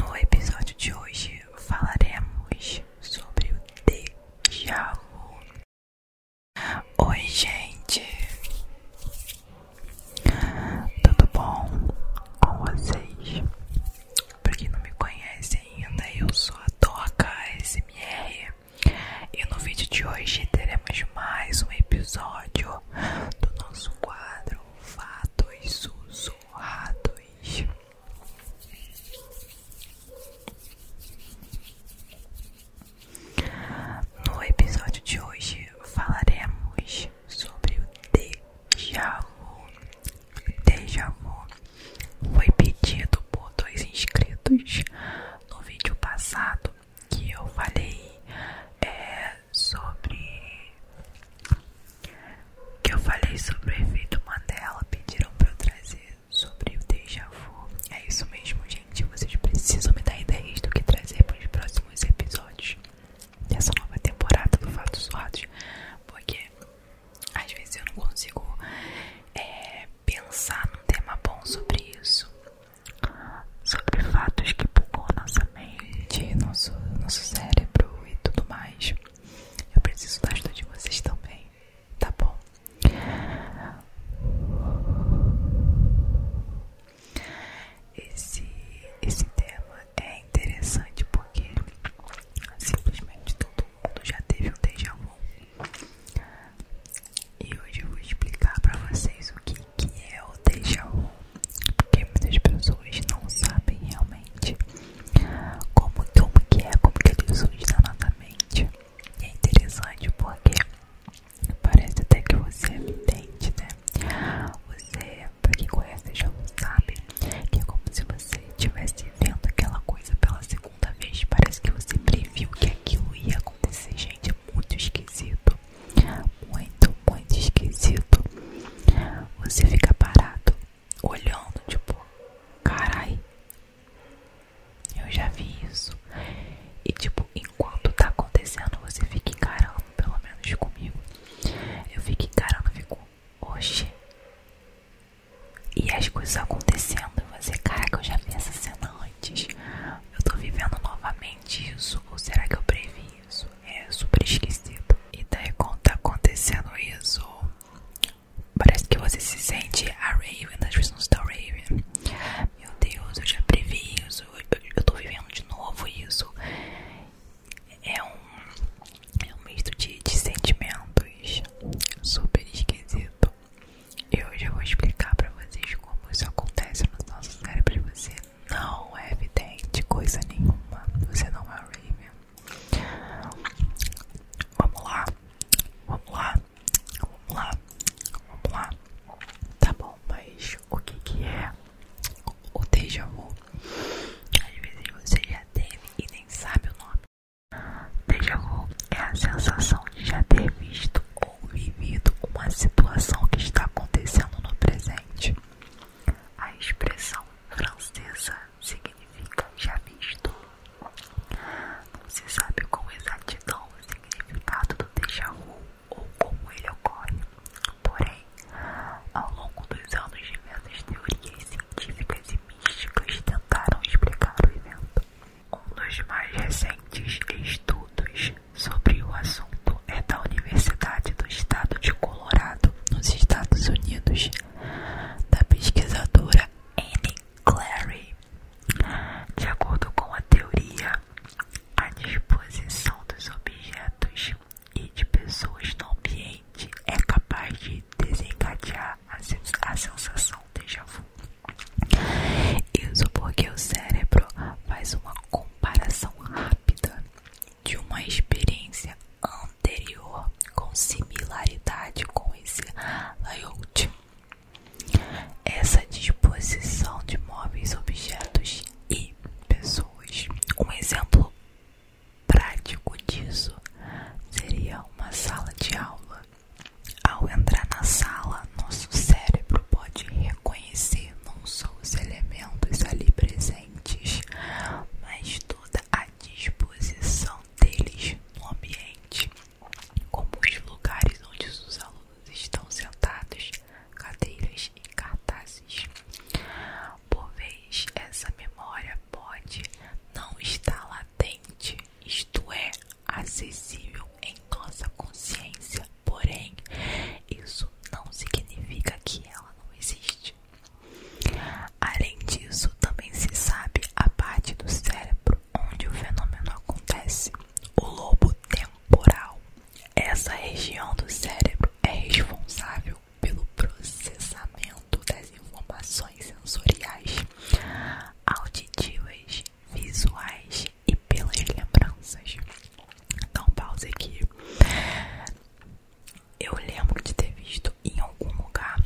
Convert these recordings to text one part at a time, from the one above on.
No episódio de hoje falaremos sobre o déjà vu. Oi, gente, tudo bom com vocês? Pra quem não me conhece ainda, eu sou a Toca SMR e no vídeo de hoje teremos mais um episódio do nosso quadro e Sussurros. No episódio de hoje falaremos sobre o déjà vu. Déjà vu foi pedido por dois inscritos no vídeo passado que eu falei é, sobre o que eu falei sobre o efeito Mandela, pediram para eu trazer sobre o déjà vu. É isso mesmo, gente, vocês precisam me dar ideias do que trazer para os próximos episódios dessa nova temporada do Fatos Sordos, porque às vezes eu não consigo é, pensar num tema bom sobre isso, sobre fatos que pulgam nossa nossa nosso, nosso cérebro e tudo mais. Eu preciso da ajuda de vocês também, tá bom? Esse, esse tema é interessante porque simplesmente todo mundo já teve um déjà vu. E hoje eu vou explicar para vocês o que que é o déjà porque muitas pessoas não sabem realmente como, é que é, como que ele surge na nossa mente. E é interessante porque parece até que você é entende, né? Você, pra quem conhece já vu sabe, que é como se você estivesse vendo aquela coisa pela segunda vez, parece que você previu que aquilo ia acontecer, gente, é muito esquisito muito, muito esquisito. Você fica parado, olhando, tipo, carai, eu já vi isso. E, tipo, enquanto tá acontecendo, você fica encarando, pelo menos comigo. Eu fico encarando, fico, oxe. E as coisas acontecendo, e você, caraca, eu já vi essa cena antes. Eu tô vivendo novamente isso, ou será que eu previ isso? É super esquisito. E daí quando tá acontecendo isso, parece que você se sente a Raven, nas versões da Raven. Meu Deus, eu já previ isso, eu, eu tô vivendo de novo isso. É um, é misto de, sentimentos super esquisito. E hoje Eu vou explicar pra vocês como isso acontece no nosso cérebro de você não é evidente coisa nenhuma. Você não é Raven. Vamos lá. Vamos lá. Vamos lá. Vamos lá. Tá bom, mas o que é o déjà vu? Às vezes você já teve e nem sabe o nome. Déjà vu é a sensação de já ter visto ou vivido uma situação que está acontecendo no presente. A expressão francesa significa já visto. Não se sabe com exatidão o significado do déjà vu ou como ele ocorre. Porém, ao longo dos anos, diversas teorias científicas e místicas tentaram explicar o evento. Um dos mais recentes estudos sobre o assunto é da Universidade do Estado de Colorado, nos Estados Unidos, da pesquisadora Anne Clary. De acordo com a teoria, a disposição dos objetos e de pessoas no ambiente é capaz de desencadear a sensação déjà vu. Isso porque o cérebro faz uma comparação rápida de uma experiência anterior com similaridade com esse layout. Essa disposição de móveis, objetos e pessoas. Um exemplo prático disso seria uma sala de aula. Ao entrar na sala, nosso cérebro pode reconhecer não só os elementos ali presentes, mas toda a disposição deles no ambiente, como os lugares onde os alunos estão sentados, cadeiras e cartazes. Por vezes essa memória pode não estar latente, isto é, acessível em nossa consciência, porém, isso não significa que ela não existe. Além disso, também se sabe a parte do cérebro onde o fenômeno acontece, o lobo temporal. Essa região do cérebro é responsável pelo processamento das informações sensoriais, auditivas, visuais e pelas lembranças. Então, pause aqui. Eu lembro de ter visto em algum lugar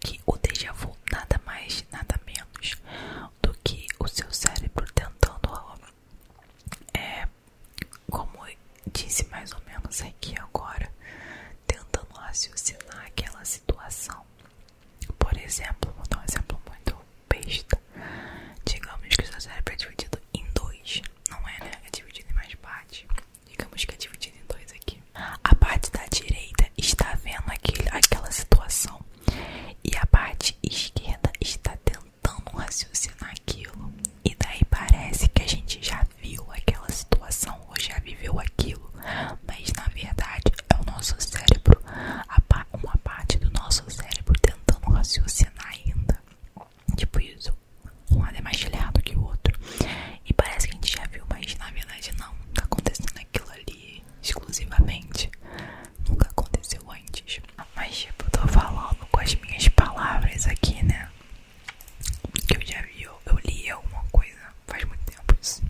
que o déjà vu nada mais, nada menos do que o seu cérebro tentando é como disse mais ou menos aqui agora, tentando raciocinar aquela situação por exemplo, vou dar um exemplo muito besta. Digamos que o seu cérebro é dividido em dois. Não é, né? É dividido em mais partes. Digamos que é dividido em dois aqui. A parte da direita está vendo aquela situação. E a parte esquerda está tentando raciocinar aquilo. E daí parece que a gente já viu aquela situação ou já viveu aquilo mas na verdade é o nosso cérebro, uma parte do nosso cérebro tentando raciocinar ainda. Tipo isso, um lado é mais gelado que o outro. E parece que a gente já viu, mas na verdade não. Tá acontecendo aquilo ali exclusivamente. Nunca aconteceu antes. Mas tipo, tô falando com as minhas palavras aqui, né? Que eu já vi, eu li alguma coisa faz muito tempo isso.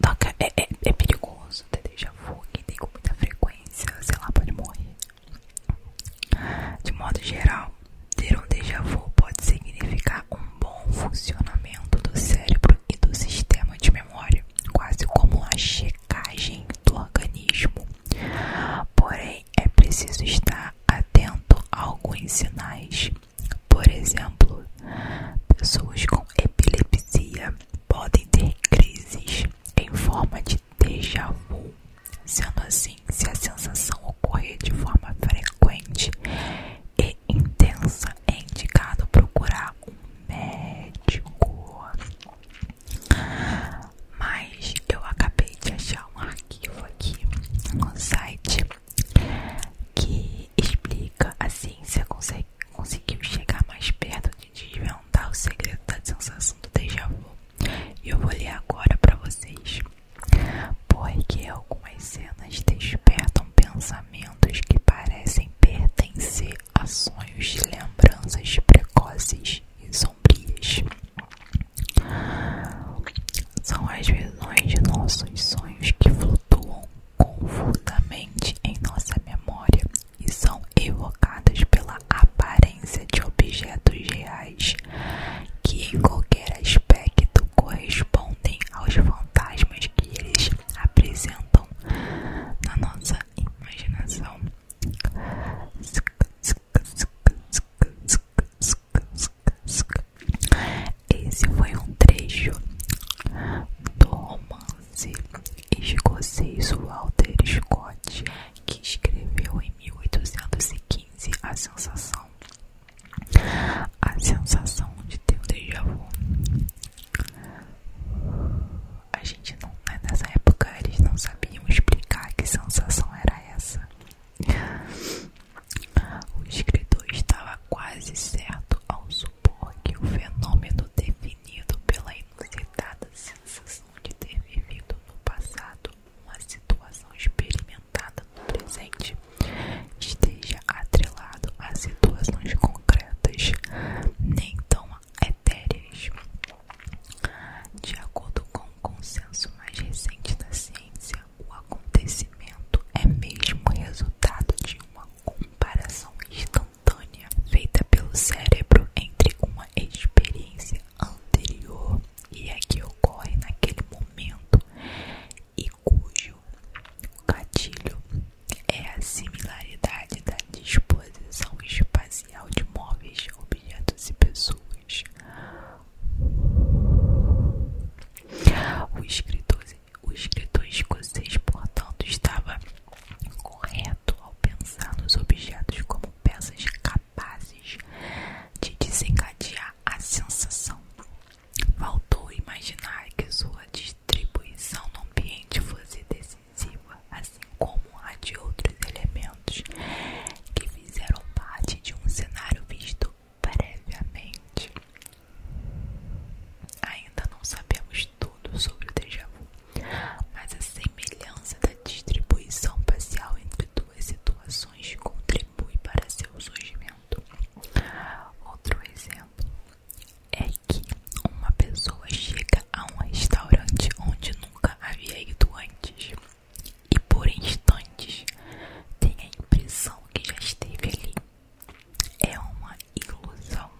Toca, é, é, é perigoso ter déjà vu, que tem com muita frequência, sei lá, pode morrer. De modo geral, ter um déjà vu pode significar um bom funcionamento do cérebro e do sistema de memória, quase como uma checagem do organismo. Porém, é preciso estar atento a alguns sinais por exemplo, pessoas com epilepsia podem ter crises em forma de déjà vu, sendo assim, se a sensação ocorrer de forma frequente e intensa, é indicado procurar um médico. Mas eu acabei de achar um arquivo aqui no site que explica a ciência consegue, conseguiu chegar mais perto de desvendar o segredo da sensação do déjà vu. E eu vou ler agora para vocês, porque algumas cenas despertam pensamentos que parecem pertencer a sonhos de lembranças precoces e sombrias. São as visões de nossos sonhos que flutuam confusamente em nossa memória e são evocadas pela aparência de objetos reais que, em qualquer aspecto, correspondem aos fantasmas que eles apresentam na nossa imaginação. Esse foi um trecho do romance escocês Walter Scott, que escreveu em 1815 A Sensação. A sensação de ter um déjà vu. A gente não, né, nessa época eles não sabiam explicar que sensação era essa. O escritor estava quase certo ao supor que o fenômeno definido pela inusitada sensação de ter vivido no passado uma situação experimentada no presente esteja atrelado a situações concretas, nem tão etéreas. De acordo com o consenso mais recente da ciência, o acontecimento é mesmo resultado de uma comparação instantânea feita pelo cérebro entre uma experiência anterior e a que ocorre naquele momento e cujo gatilho é a similaridade da disposição espacial de móveis, objetos e pessoas. O escritor, o escritor escocês, portanto, estava correto ao pensar nos objetos como peças capazes de desencadear a sensação. Faltou imaginar que sua distribuição no ambiente fosse decisiva, assim como a de outros elementos que fizeram parte de um cenário visto previamente. Ainda não sabemos tudo sobre o déjà vu, mas a semelhança da distribuição parcial entre duas situações contribui para seu surgimento. Outro exemplo é que uma pessoa chega a um restaurante onde nunca havia ido antes e por instantes tem a impressão que já esteve ali. É uma ilusão.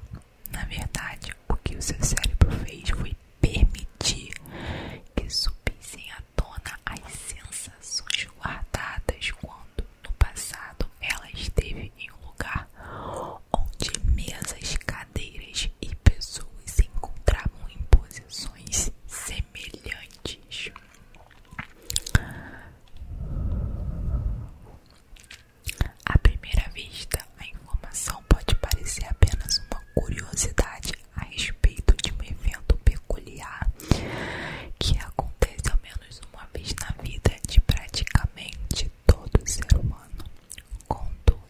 Na verdade, o que o seu cérebro fez foi permitir que subissem à tona as sensações guardadas quando, no passado, ela esteve em um lugar onde mesas, cadeiras e pessoas se encontravam em posições semelhantes. À primeira vista, a informação pode parecer apenas uma curiosidade a respeito de um evento peculiar que acontece ao menos uma vez na vida de praticamente todo ser humano. Contudo,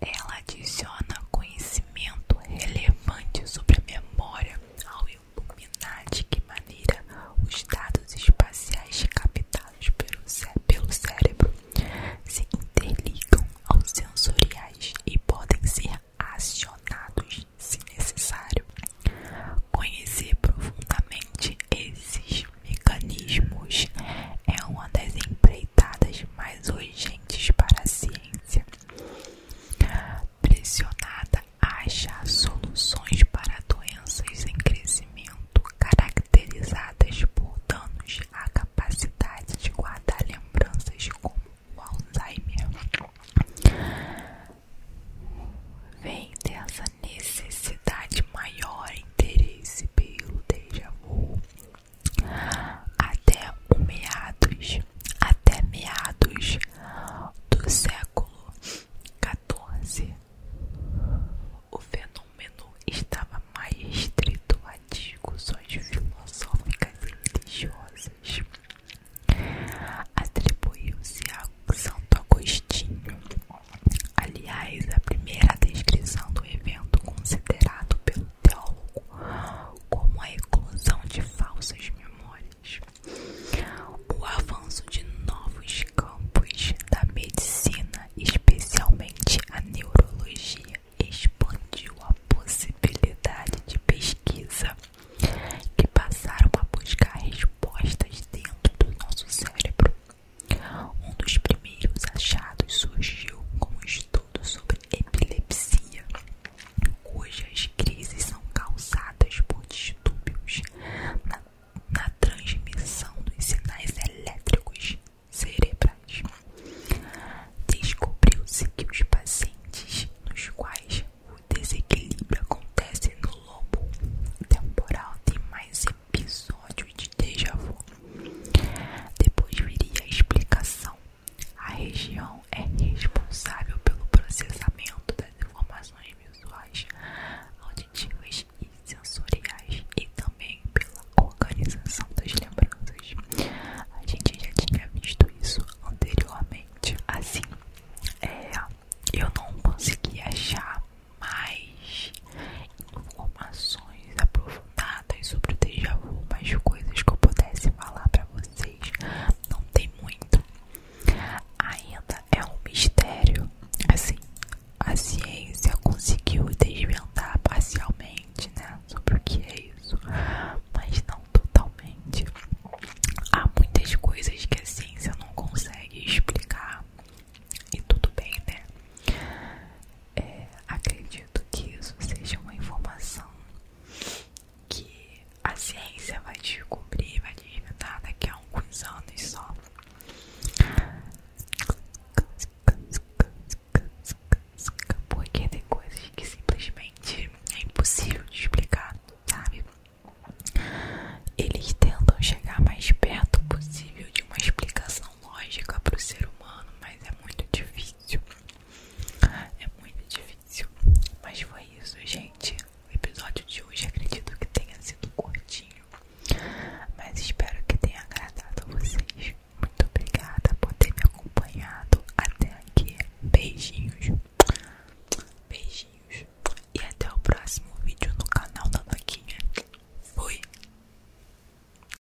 ela adiciona conhecimento relevante sobre a memória ao iluminar de que maneira os dados espaciais captados pelo, cérebro se interligam aos sensoriais e podem ser acionados se necessário. Conhecer profundamente esses mecanismos é uma das empreitadas mais urgentes para a ciência pressionada a achar soluções para doenças em crescimento caracterizadas por danos à capacidade de guardar lembranças como o Alzheimer. Vem dessa necessidade maior interesse pelo déjà vu até meados, do século XIV, o fenômeno estava mais restrito a discussões filosóficas e religiosas. Atribuiu-se a Santo Agostinho. Aliás, a primeira descrição do evento considerado pelo então, como a eclosão de falsas memórias, o avanço de novos campos da medicina, especialmente a neurologia, expandiu a possibilidade de pesquisa que passaram a buscar respostas dentro do nosso cérebro. Um dos primeiros achados surgiu com um estudo sobre epilepsia Hoje as crises são causadas por distúrbios na transmissão dos sinais elétricos cerebrais. Descobriu-se que os pacientes nos quais o desequilíbrio acontece no lobo temporal têm mais episódios de déjà vu. Depois viria a explicação a região é responsável pelo processamento das informações visuais, auditivas e sensoriais e também pela organização das lembranças. A gente já tinha visto isso anteriormente. Assim, é, eu não consegui achar mais informações aprofundadas nada sobre o déjà vu, mas coisas que eu pudesse falar pra vocês não tem muito. Ainda é um mistério. Assim, a ciência conseguiu desvendar parcialmente, né? Sobre o que é isso, mas não totalmente. Há muitas coisas que a ciência não consegue explicar. E tudo bem, né? É, acredito que isso seja uma informação que a ciência vai descobrir, vai desvendar daqui a alguns anos só. Porque tem coisas que simplesmente é impossível de explicar, sabe? Eles tentam chegar mais perto possível de uma explicação lógica para o ser humano, mas é muito difícil. É muito difícil. Mas foi isso, gente. O episódio de hoje acredito que tenha sido curtinho. Mas espero que tenha agradado vocês. Muito obrigada por ter me acompanhado até aqui. Beijinhos. Beijinhos. E até o próximo vídeo no canal da Noquinha. Fui.